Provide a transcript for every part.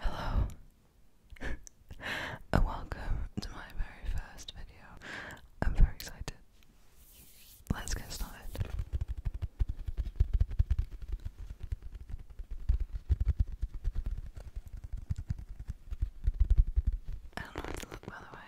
Hello, and welcome to my very first video. I'm very excited. Let's get started. I don't know how to look by the way.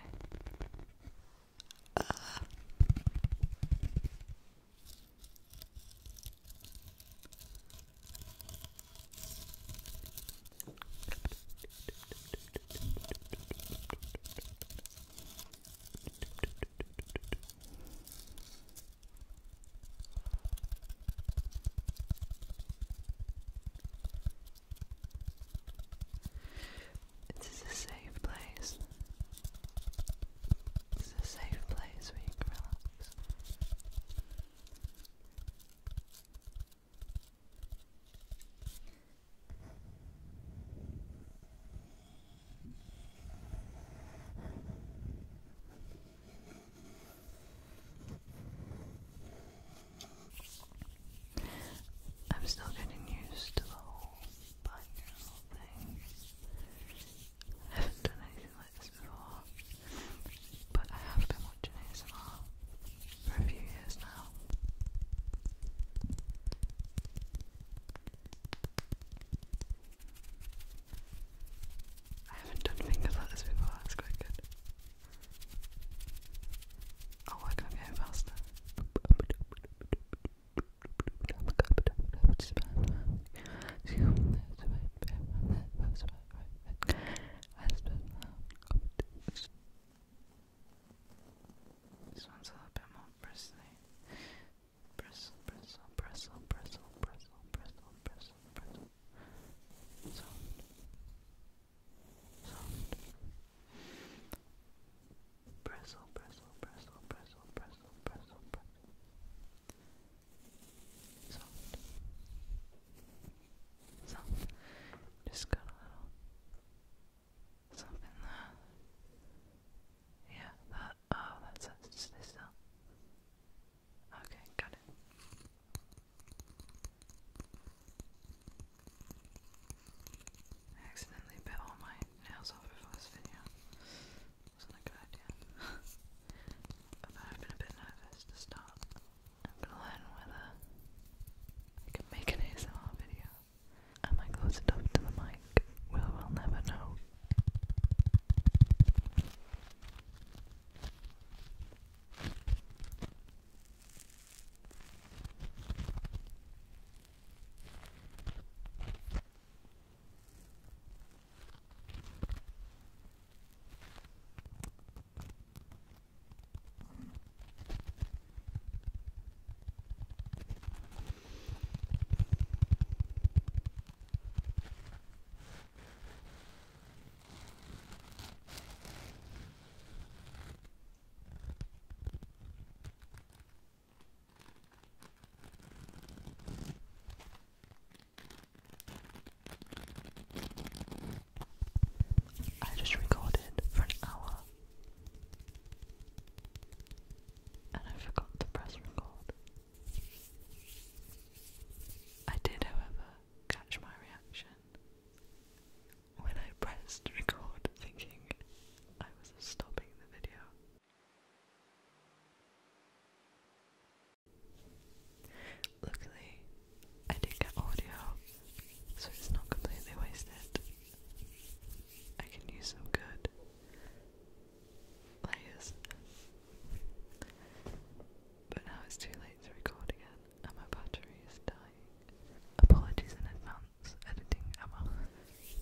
This is a safe place. This is a safe place where you can relax. I'm still getting used to the whole binaural thing. I haven't done anything like this before, but I have been watching ASMR for a few years now. I haven't done fingers like this before, that's quite good. I'll work on getting faster. This one's a little bit more bristly bristle, bristle, bristle, bristle, bristle, bristle, bristle, bristle, soft, soft, bristle, bristle, bristle, bristle, bristle, bristle, bristle, soft, soft, just got a little something there. Yeah, that. Uh, oh, that's this now. Okay, got it. I accidentally bit all my nails off before this video. Wasn't a good idea. I've been a bit nervous to start. I'm gonna learn whether I can make an ASMR video. Am I close enough to the mic? we will never know. I just recorded for an hour and I forgot to press record. I did, however, catch my reaction when I pressed record thinking I was stopping the video. Luckily, I did get audio, so it's not completely wasted. I can use some good layers. But now it's too late to record again, my battery is dying. Apologies in advance, editing Emma.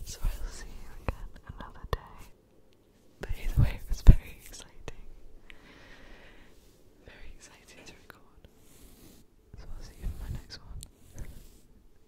So I'll see you again another day. But either way, it very exciting. Very exciting to record. So I'll see you in my next one.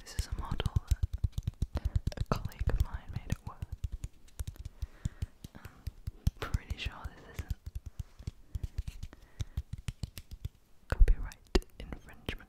This is a model that a colleague of mine made It work. pretty sure this isn't copyright infringement.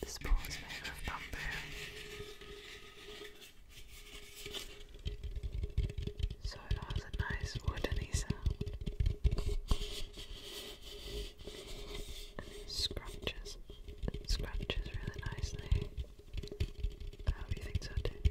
This bowl is made of bamboo, so it has a nice woodeny sound. scratches, scratches really nicely. I hope you think so too.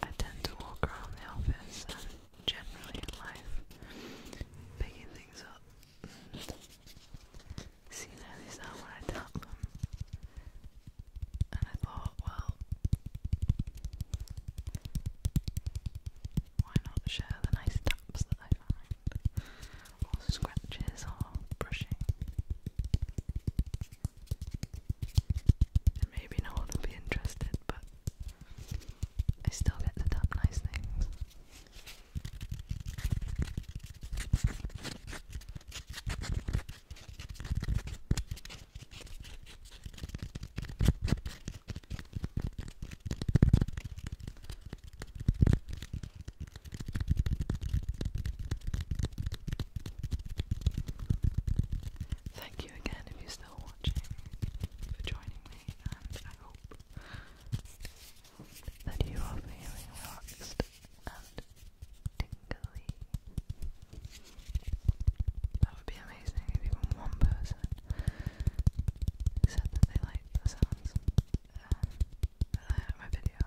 I tend to walk around the office generally in life. Picking things up. See, now these are I tap them. And I thought, well, why not share the nice taps that I find? Or scratches or brushing. And maybe no one will be interested, but I still get the top nice things. Thank you again if you still watching, for joining me, and I hope that you are feeling relaxed and tingly. That would be amazing if even one person said that they liked the sounds um, my video.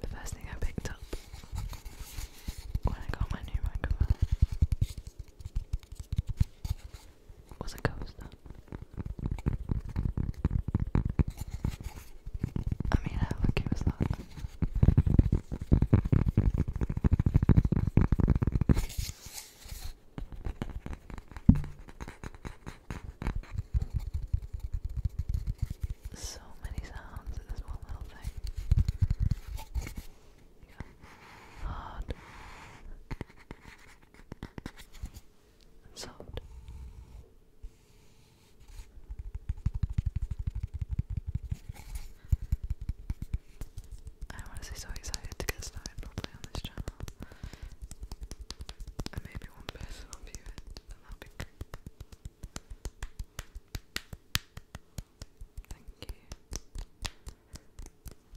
The first thing I picked up when I got my new microphone was a coaster. I mean, how lucky was that? So many sounds in this one little thing hard soft. I'm honestly so excited to get started properly this channel. And maybe one person will view it, and that'll be great. Thank you.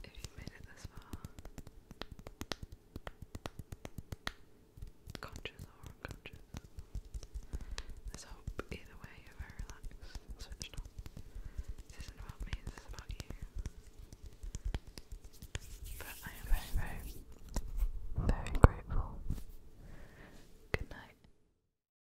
If you made it this far, conscious or unconscious, let hope either way you're very relaxed and switched This isn't about me, this is about you. But I am very, very, very grateful. Good night.